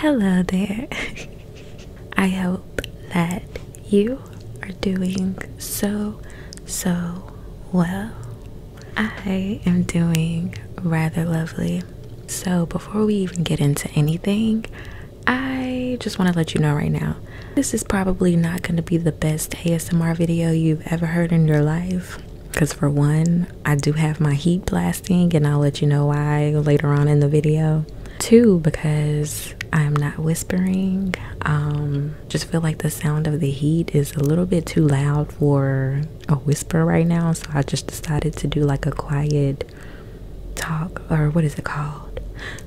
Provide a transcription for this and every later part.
Hello there. I hope that you are doing so, so well. I am doing rather lovely. So, before we even get into anything, I just want to let you know right now this is probably not going to be the best ASMR video you've ever heard in your life because for one i do have my heat blasting and i'll let you know why later on in the video two because i'm not whispering um just feel like the sound of the heat is a little bit too loud for a whisper right now so i just decided to do like a quiet talk or what is it called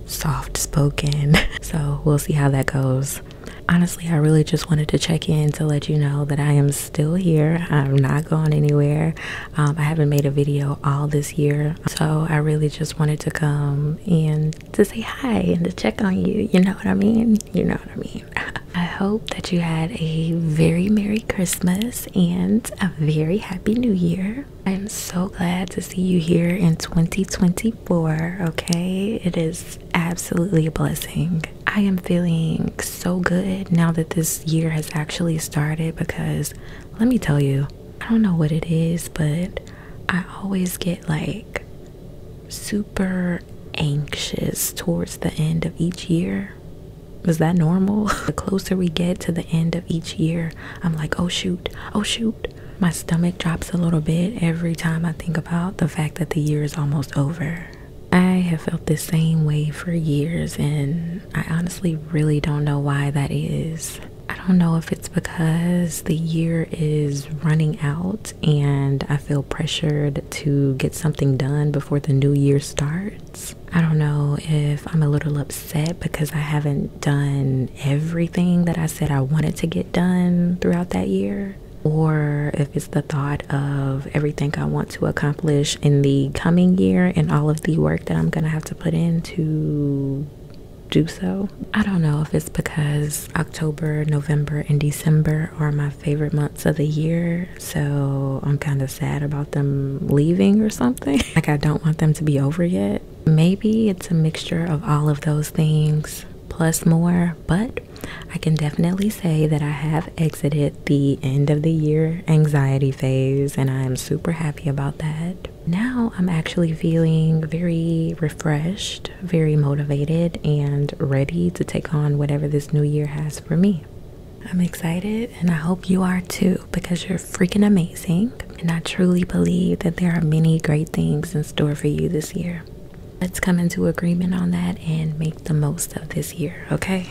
soft spoken so we'll see how that goes honestly i really just wanted to check in to let you know that i am still here. I'm not going anywhere. Um, I haven't made a video all this year, so I really just wanted to come and to say hi and to check on you. You know what I mean? You know what I mean. I hope that you had a very Merry Christmas and a very Happy New Year. I am so glad to see you here in 2024. Okay, it is absolutely a blessing I am feeling so good now that this year has actually started because let me tell you, I don't know what it is, but I always get like super anxious towards the end of each year. Is that normal? the closer we get to the end of each year, I'm like, oh shoot, oh shoot. My stomach drops a little bit every time I think about the fact that the year is almost over. I have felt the same way for years, and I honestly really don't know why that is. I don't know if it's because the year is running out and I feel pressured to get something done before the new year starts. I don't know if I'm a little upset because I haven't done everything that I said I wanted to get done throughout that year or if the thought of everything I want to accomplish in the coming year and all of the work that I'm going to have to put in to do so. I don't know if it's because October, November, and December are my favorite months of the year, so I'm kind of sad about them leaving or something. like, I don't want them to be over yet. Maybe it's a mixture of all of those things plus more, but I can definitely say that I have exited the end of the year anxiety phase, and I am super happy about that. Now I'm actually feeling very refreshed, very motivated, and ready to take on whatever this new year has for me. I'm excited and I hope you are too because you're freaking amazing. And I truly believe that there are many great things in store for you this year. Let's come into agreement on that and make the most of this year, okay?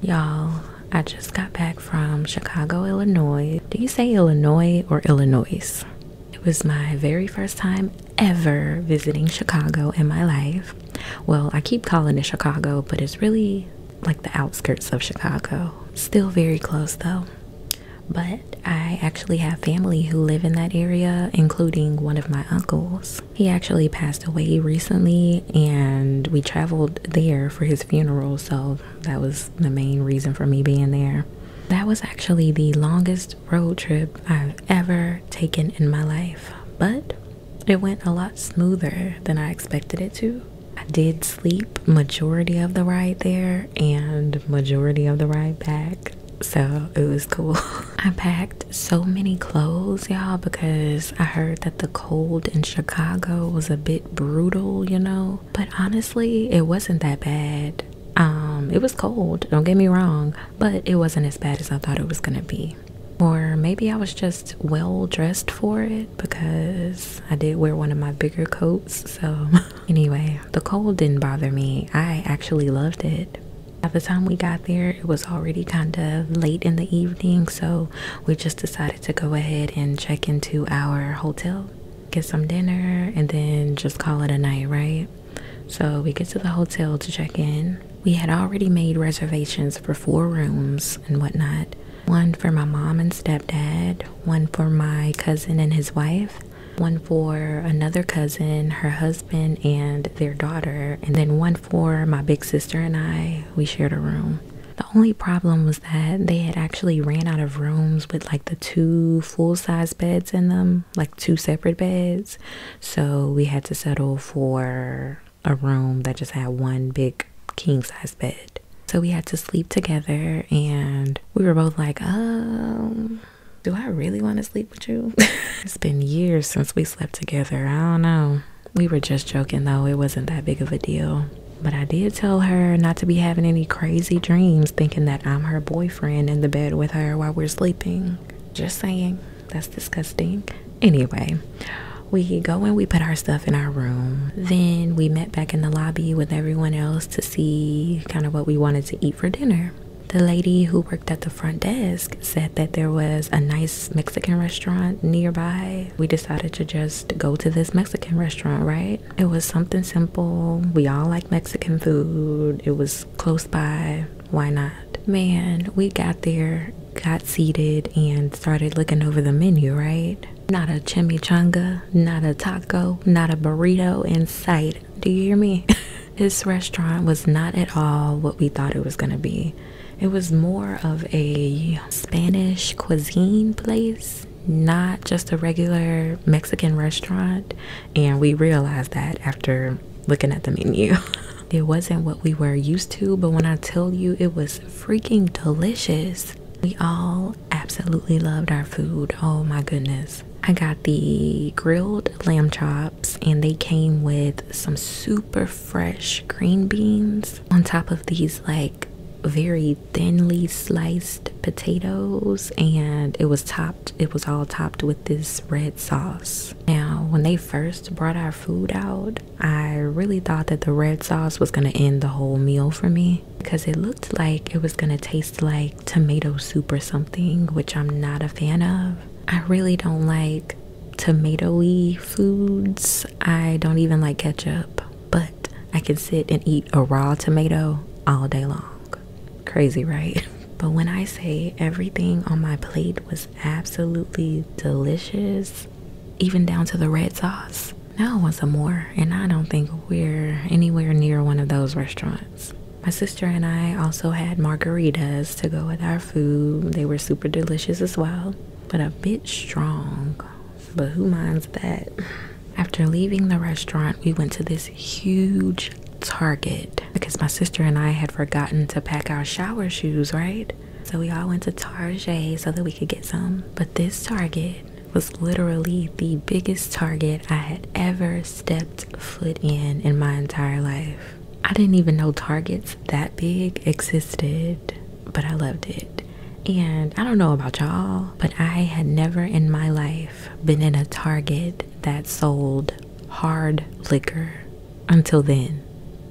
Y'all, I just got back from Chicago, Illinois. Do you say Illinois or Illinois? It was my very first time ever visiting Chicago in my life. Well, I keep calling it Chicago, but it's really like the outskirts of Chicago. Still very close though. But I actually have family who live in that area, including one of my uncles. He actually passed away recently, and we traveled there for his funeral, so that was the main reason for me being there. That was actually the longest road trip I've ever taken in my life, but it went a lot smoother than I expected it to. I did sleep majority of the ride there and majority of the ride back, so it was cool. I packed so many clothes, y'all, because I heard that the cold in Chicago was a bit brutal, you know. But honestly, it wasn't that bad. Um, it was cold, don't get me wrong, but it wasn't as bad as I thought it was gonna be. Or maybe I was just well dressed for it because I did wear one of my bigger coats. So, anyway, the cold didn't bother me. I actually loved it. By the time we got there, it was already kind of late in the evening, so we just decided to go ahead and check into our hotel, get some dinner, and then just call it a night, right? So we get to the hotel to check in. We had already made reservations for four rooms and whatnot one for my mom and stepdad, one for my cousin and his wife, one for another cousin, her husband, and their daughter, and then one for my big sister and I. We shared a room. The only problem was that they had actually ran out of rooms with like the two full size beds in them, like two separate beds. So we had to settle for a room that just had one big king size bed. So we had to sleep together and we were both like, um, do I really want to sleep with you? it's been years since we slept together. I don't know we were just joking though, it wasn't that big of a deal. But I did tell her not to be having any crazy dreams thinking that I'm her boyfriend in the bed with her while we're sleeping. Just saying, that's disgusting. Anyway, we go and we put our stuff in our room. Then we met back in the lobby with everyone else to see kind of what we wanted to eat for dinner. The lady who worked at the front desk said that there was a nice Mexican restaurant nearby. We decided to just go to this Mexican restaurant, right? It was something simple. We all like Mexican food. It was close by. Why not? Man, we got there, got seated, and started looking over the menu, right? Not a chimichanga, not a taco, not a burrito in sight. Do you hear me? this restaurant was not at all what we thought it was going to be. It was more of a Spanish cuisine place, not just a regular Mexican restaurant. And we realized that after looking at the menu. it wasn't what we were used to, but when I tell you it was freaking delicious, we all absolutely loved our food. Oh my goodness. I got the grilled lamb chops and they came with some super fresh green beans on top of these like very thinly sliced potatoes and it was topped it was all topped with this red sauce now when they first brought our food out i really thought that the red sauce was going to end the whole meal for me because it looked like it was going to taste like tomato soup or something which i'm not a fan of i really don't like tomatoey foods. I don't even like ketchup, but I can sit and eat a raw tomato all day long. Crazy, right? But when I say everything on my plate was absolutely delicious, even down to the red sauce, now I want some more. And I don't think we're anywhere near one of those restaurants. My sister and I also had margaritas to go with our food. They were super delicious as well, but a bit strong. But who minds that? After leaving the restaurant, we went to this huge Target because my sister and I had forgotten to pack our shower shoes, right? So we all went to Target so that we could get some. But this Target was literally the biggest Target I had ever stepped foot in in my entire life. I didn't even know Targets that big existed, but I loved it. And I don't know about y'all, but I had never in my life been in a Target that sold hard liquor until then.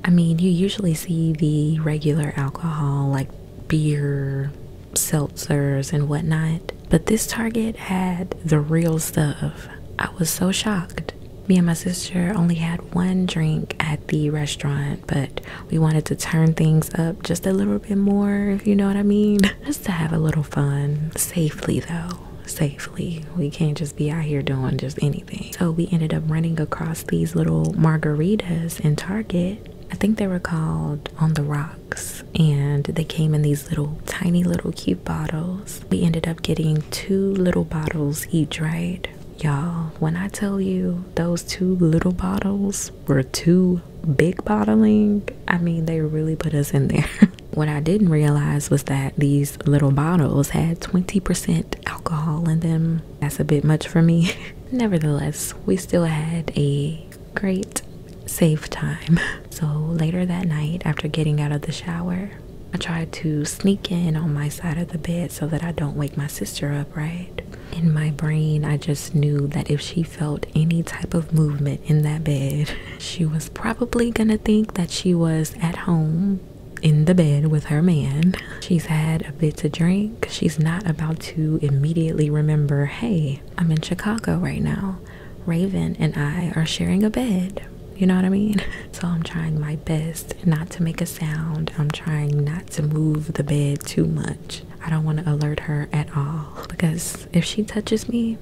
I mean, you usually see the regular alcohol like beer, seltzers, and whatnot, but this Target had the real stuff. I was so shocked. Me and my sister only had one drink at the restaurant, but we wanted to turn things up just a little bit more, if you know what I mean. Just to have a little fun, safely though, safely. We can't just be out here doing just anything. So we ended up running across these little margaritas in Target. I think they were called On the Rocks, and they came in these little tiny little cute bottles. We ended up getting two little bottles each, right? Y'all, when I tell you those two little bottles were two big bottling, I mean, they really put us in there. what I didn't realize was that these little bottles had 20% alcohol in them. That's a bit much for me. Nevertheless, we still had a great, safe time. So later that night, after getting out of the shower, I tried to sneak in on my side of the bed so that I don't wake my sister up, right? In my brain, I just knew that if she felt any type of movement in that bed, she was probably gonna think that she was at home in the bed with her man. She's had a bit to drink. She's not about to immediately remember, hey, I'm in Chicago right now. Raven and I are sharing a bed. You know what I mean? So I'm trying my best not to make a sound. I'm trying not to move the bed too much. I don't want to alert her at all because if she touches me,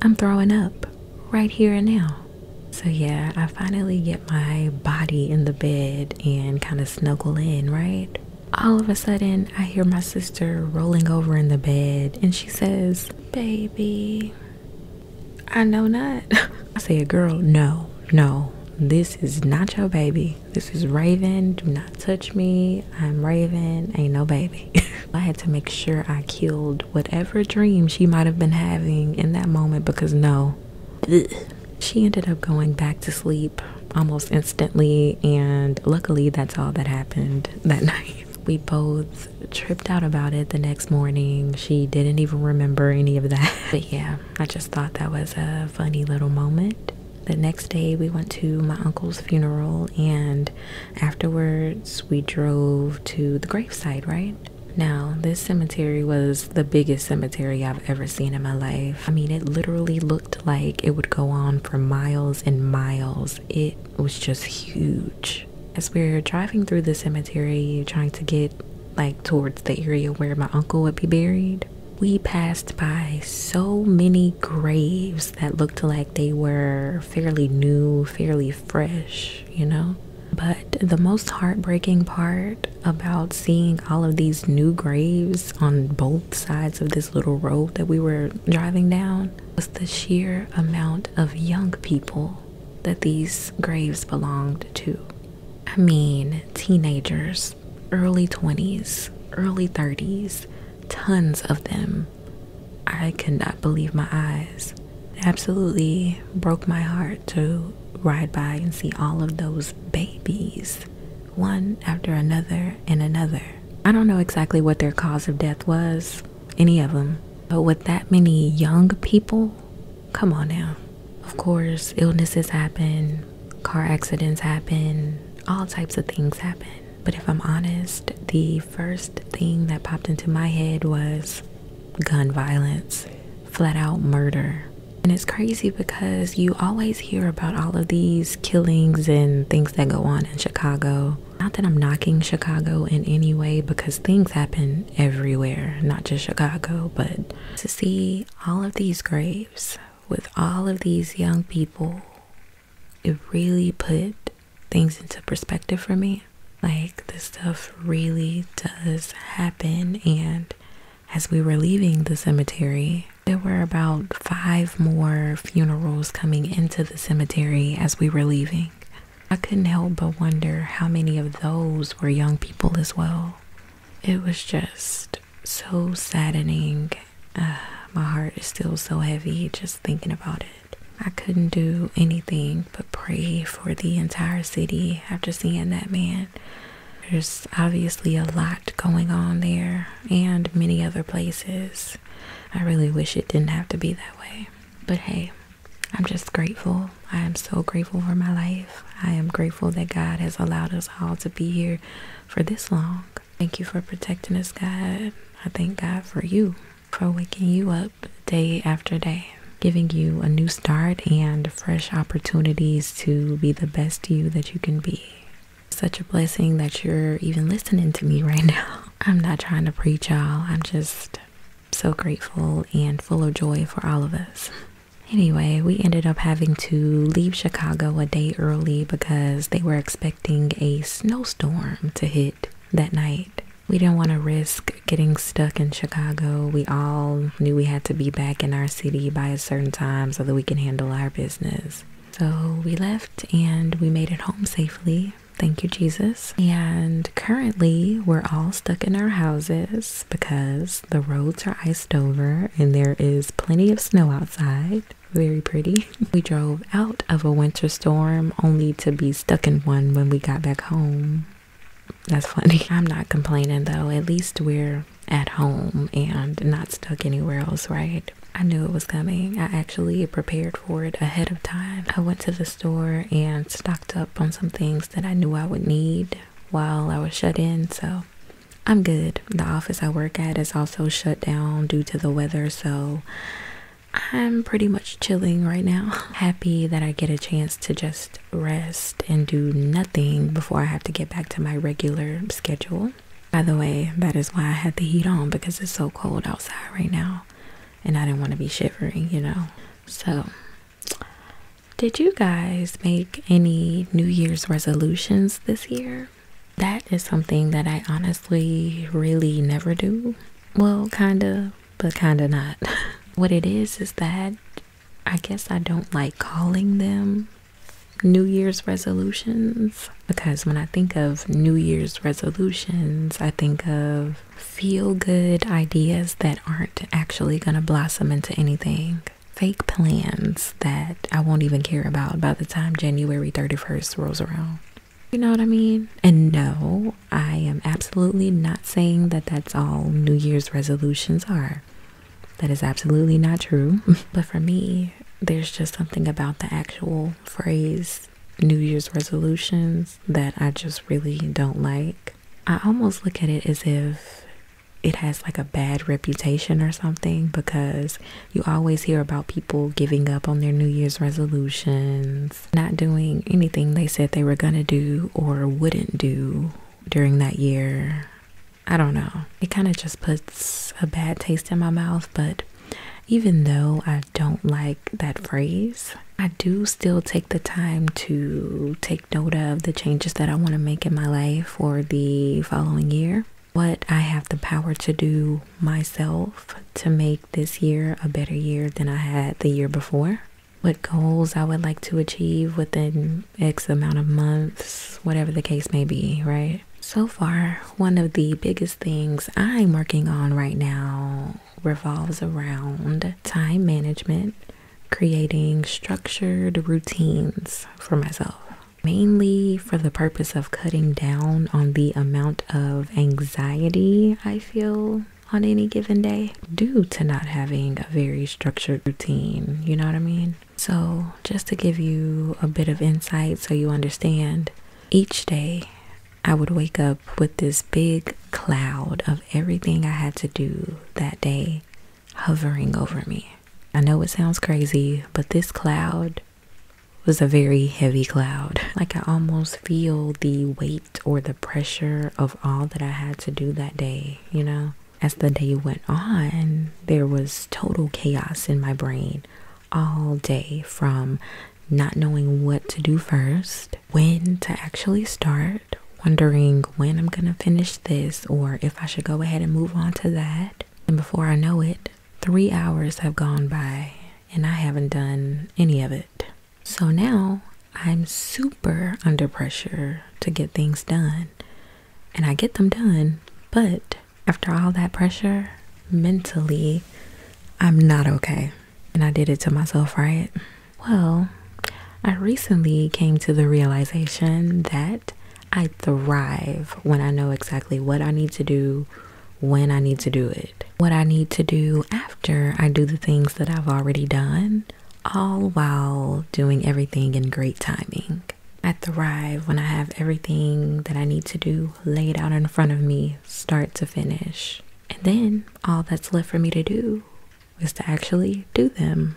I'm throwing up right here and now. So yeah, I finally get my body in the bed and kind of snuggle in, right? All of a sudden, I hear my sister rolling over in the bed and she says, Baby, I know not. I said, girl, no, no. This is not your baby. This is Raven. Do not touch me. I'm Raven. Ain't no baby. I had to make sure I killed whatever dream she might have been having in that moment because no. She ended up going back to sleep almost instantly, and luckily, that's all that happened that night. We both tripped out about it the next morning. She didn't even remember any of that. But yeah, I just thought that was a funny little moment. The next day, we went to my uncle's funeral, and afterwards, we drove to the graveside. right? Now, this cemetery was the biggest cemetery I've ever seen in my life. I mean, it literally looked like it would go on for miles and miles. It was just huge. As we we're driving through the cemetery, trying to get like towards the area where my uncle would be buried, we passed by so many graves that looked like they were fairly new, fairly fresh, you know. But the most heartbreaking part about seeing all of these new graves on both sides of this little road that we were driving down was the sheer amount of young people that these graves belonged to. I mean, teenagers, early 20s, early 30s, tons of them. I could not believe my eyes. absolutely broke my heart to ride by and see all of those babies, one after another and another. I don't know exactly what their cause of death was, any of them, but with that many young people Come on now. Of course, illnesses happen, car accidents happen, all types of things happen. But if I'm honest, the first thing that popped into my head was gun violence, flat out murder. And it's crazy because you always hear about all of these killings and things that go on in Chicago. Not that I'm knocking Chicago in any way because things happen everywhere, not just Chicago, but to see all of these graves with all of these young people, it really put things into perspective for me. Like, this stuff really does happen. And as we were leaving the cemetery, there were about five more funerals coming into the cemetery as we were leaving. I couldn't help but wonder how many of those were young people as well. It was just so saddening. Uh, my heart is still so heavy just thinking about it. I couldn't do anything but pray for the entire city after seeing that man. There's obviously a lot going on there and many other places. I really wish it didn't have to be that way. But hey, I'm just grateful. I am so grateful for my life. I am grateful that God has allowed us all to be here for this long. Thank you for protecting us, God. I thank God for you, for waking you up day after day, giving you a new start and fresh opportunities to be the best you that you can be. Such a blessing that you're even listening to me right now. I'm not trying to preach y'all. I'm just so grateful and full of joy for all of us. Anyway, we ended up having to leave Chicago a day early because they were expecting a snowstorm to hit that night. We didn't want to risk getting stuck in Chicago. We all knew we had to be back in our city by a certain time so that we can handle our business. So we left and we made it home safely. Thank you, Jesus. And currently, we're all stuck in our houses because the roads are iced over and there is plenty of snow outside. Very pretty. we drove out of a winter storm only to be stuck in one when we got back home. That's funny. I'm not complaining though. At least we're at home and not stuck anywhere else, right? I knew it was coming. I actually prepared for it ahead of time. I went to the store and stocked up on some things that I knew I would need while I was shut in, so I'm good. The office I work at is also shut down due to the weather, so I'm pretty much chilling right now. Happy that I get a chance to just rest and do nothing before I have to get back to my regular schedule. By the way, that is why I had the heat on because it's so cold outside right now and I didn't want to be shivering, you know. So did you guys make any New Year's resolutions this year? That is something that I honestly really never do. Well, kinda, but kinda not. what it is is that I guess I don't like calling them New Year's resolutions because when I think of New Year's resolutions, I think of feel good ideas that aren't actually going to blossom into anything. Fake plans that I won't even care about by the time January 31st rolls around. You know what I mean? And no, I am absolutely not saying that that's all New Year's resolutions are. That is absolutely not true. but for me, there's just something about the actual phrase New Year's resolutions that I just really don't like. I almost look at it as if it has like a bad reputation or something because you always hear about people giving up on their New Year's resolutions, not doing anything they said they were going to do or wouldn't do during that year. I don't know. It kind of just puts a bad taste in my mouth, but even though I don't like that phrase, I do still take the time to take note of the changes that I want to make in my life for the following year. What I have the power to do myself to make this year a better year than I had the year before. What goals I would like to achieve within X amount of months, whatever the case may be, right? So far, one of the biggest things I'm working on right now revolves around time management creating structured routines for myself, mainly for the purpose of cutting down on the amount of anxiety I feel on any given day due to not having a very structured routine. You know what I mean? So, just to give you a bit of insight so you understand, each day I would wake up with this big cloud of everything I had to do that day hovering over me. I know it sounds crazy, but this cloud was a very heavy cloud. Like I almost feel the weight or the pressure of all that I had to do that day, you know? As the day went on, there was total chaos in my brain all day from not knowing what to do first when to actually start, wondering when I'm gonna finish this or if I should go ahead and move on to that. And before I know it, three hours have gone by and I haven't done any of it. So now I'm super under pressure to get things done. And I get them done, but after all that pressure, mentally, I'm not okay and I did it to myself, right? Well, I recently came to the realization that I thrive when I know exactly what I need to do, when I need to do it, what I need to do after I do the things that I've already done, all while doing everything in great timing. I thrive when I have everything that I need to do laid out in front of me, start to finish. And then all that's left for me to do is to actually do them.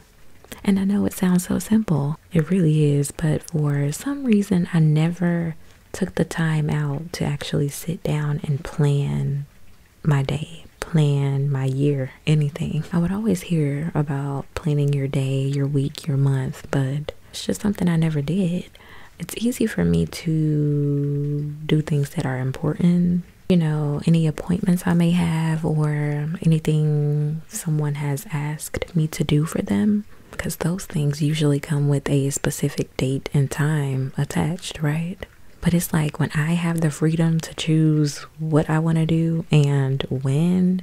And I know it sounds so simple, it really is, but for some reason, I never took the time out to actually sit down and plan my day, plan my year, anything. I would always hear about planning your day, your week, your month, but it's just something I never did. It's easy for me to do things that are important you know, any appointments I may have or anything someone has asked me to do for them. Because those things usually come with a specific date and time attached, right? But it's like when I have the freedom to choose what I want to do and when,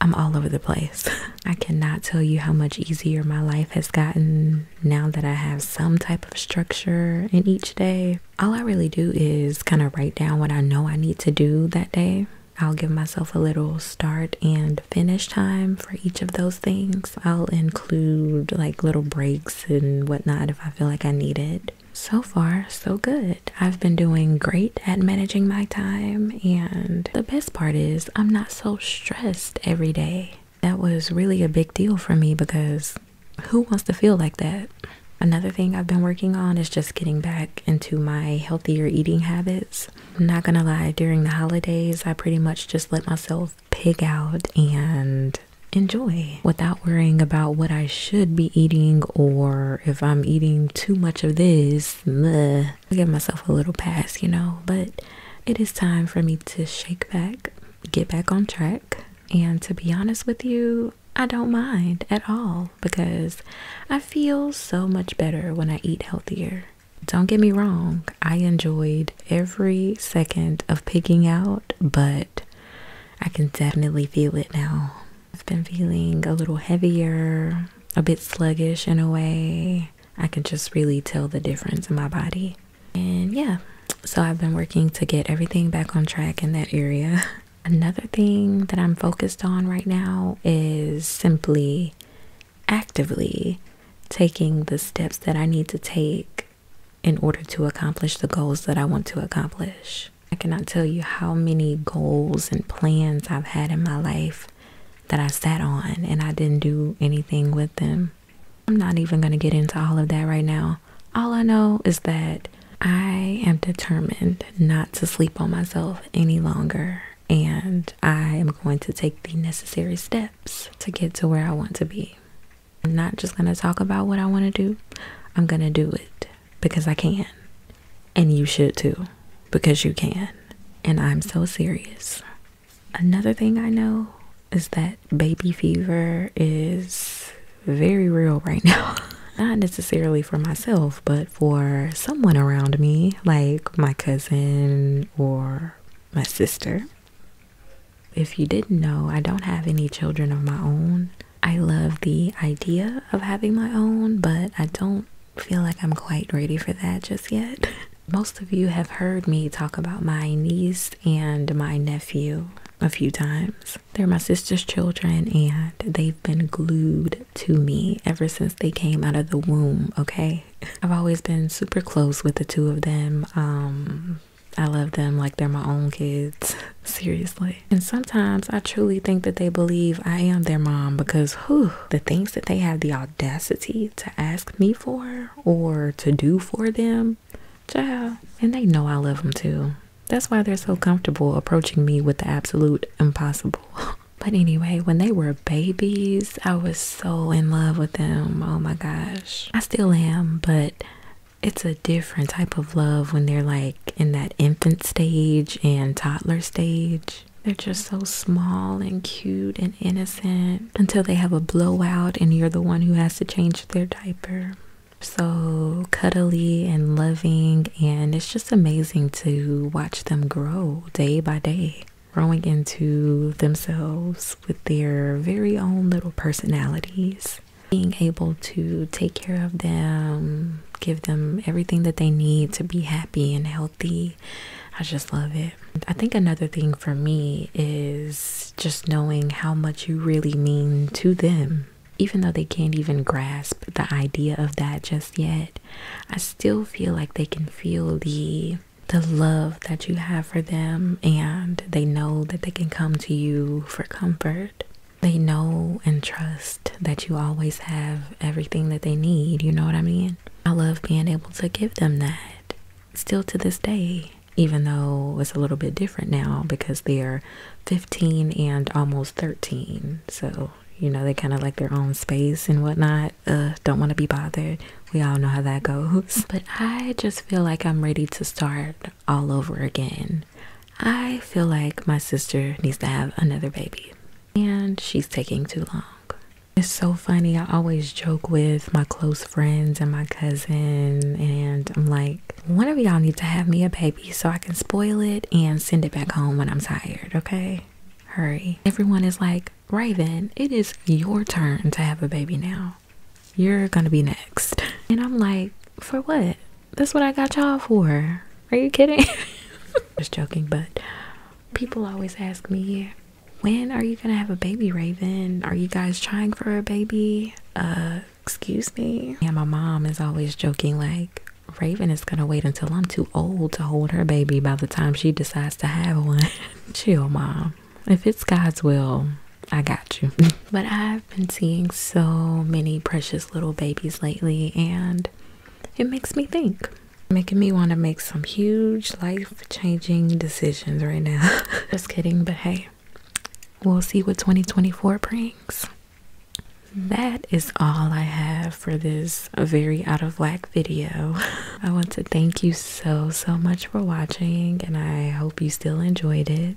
I'm all over the place. I cannot tell you how much easier my life has gotten now that I have some type of structure in each day. All I really do is kind of write down what I know I need to do that day. I'll give myself a little start and finish time for each of those things. I'll include like little breaks and whatnot if I feel like I need it. So far, so good. I've been doing great at managing my time, and the best part is I'm not so stressed every day. That was really a big deal for me because who wants to feel like that? Another thing I've been working on is just getting back into my healthier eating habits. I'm not gonna lie, during the holidays, I pretty much just let myself pig out and enjoy without worrying about what I should be eating or if I'm eating too much of this. Bleh. I give myself a little pass, you know, but it is time for me to shake back, get back on track. And to be honest with you, I don't mind at all because I feel so much better when I eat healthier. Don't get me wrong, I enjoyed every second of picking out, but I can definitely feel it now. I've been feeling a little heavier, a bit sluggish in a way. I can just really tell the difference in my body. And yeah, so I've been working to get everything back on track in that area. Another thing that I'm focused on right now is simply actively taking the steps that I need to take in order to accomplish the goals that I want to accomplish. I cannot tell you how many goals and plans I've had in my life that I sat on and I didn't do anything with them. I'm not even going to get into all of that right now. All I know is that I am determined not to sleep on myself any longer, and I am going to take the necessary steps to get to where I want to be. I'm not just going to talk about what I want to do, I'm going to do it because I can. And you should too, because you can. And I'm so serious. Another thing I know is that baby fever is very real right now. Not necessarily for myself, but for someone around me, like my cousin or my sister. If you didn't know, I don't have any children of my own. I love the idea of having my own, but I don't feel like I'm quite ready for that just yet. Most of you have heard me talk about my niece and my nephew a few times. They're my sister's children and they've been glued to me ever since they came out of the womb, okay? I've always been super close with the two of them. Um I love them like they're my own kids, seriously. And sometimes I truly think that they believe I am their mom because the things that they have the audacity to ask me for or to do for them Child, and they know I love them too. That's why they're so comfortable approaching me with the absolute impossible. but anyway, when they were babies, I was so in love with them. Oh my gosh. I still am, but it's a different type of love when they're like in that infant stage and toddler stage. They're just so small and cute and innocent until they have a blowout and you're the one who has to change their diaper so cuddly and loving, and it's just amazing to watch them grow day by day, growing into themselves with their very own little personalities. Being able to take care of them, give them everything that they need to be happy and healthy. I just love it. I think another thing for me is just knowing how much you really mean to them. Even though they can't even grasp the idea of that just yet, I still feel like they can feel the the love that you have for them and they know that they can come to you for comfort. They know and trust that you always have everything that they need, you know what I mean? I love being able to give them that. Still to this day, even though it's a little bit different now because they're 15 and almost 13. So, you know, they kind of like their own space and whatnot. Uh, don't want to be bothered. We all know how that goes. But I just feel like I'm ready to start all over again. I feel like my sister needs to have another baby, and she's taking too long. It's so funny. I always joke with my close friends and my cousin, and I'm like, one of y'all need to have me a baby so I can spoil it and send it back home when I'm tired, okay? Hurry. Everyone is like, Raven, it is your turn to have a baby now. You're gonna be next. And I'm like, for what? That's what I got y'all for. Are you kidding? Just joking, but people always ask me, when are you gonna have a baby, Raven? Are you guys trying for a baby? Uh, Excuse me. Yeah, my mom is always joking like Raven is gonna wait until I'm too old to hold her baby by the time she decides to have one. Chill, mom. If it's God's will, I got you. but I've been seeing so many precious little babies lately, and it makes me think. Making me want to make some huge life changing decisions right now. Just kidding, but hey, we'll see what 2024 brings. That is all I have for this very out of whack video. I want to thank you so, so much for watching, and I hope you still enjoyed it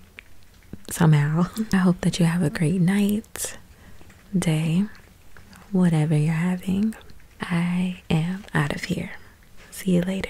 somehow. I hope that you have a great night, day, whatever you're having. I am out of here. See you later.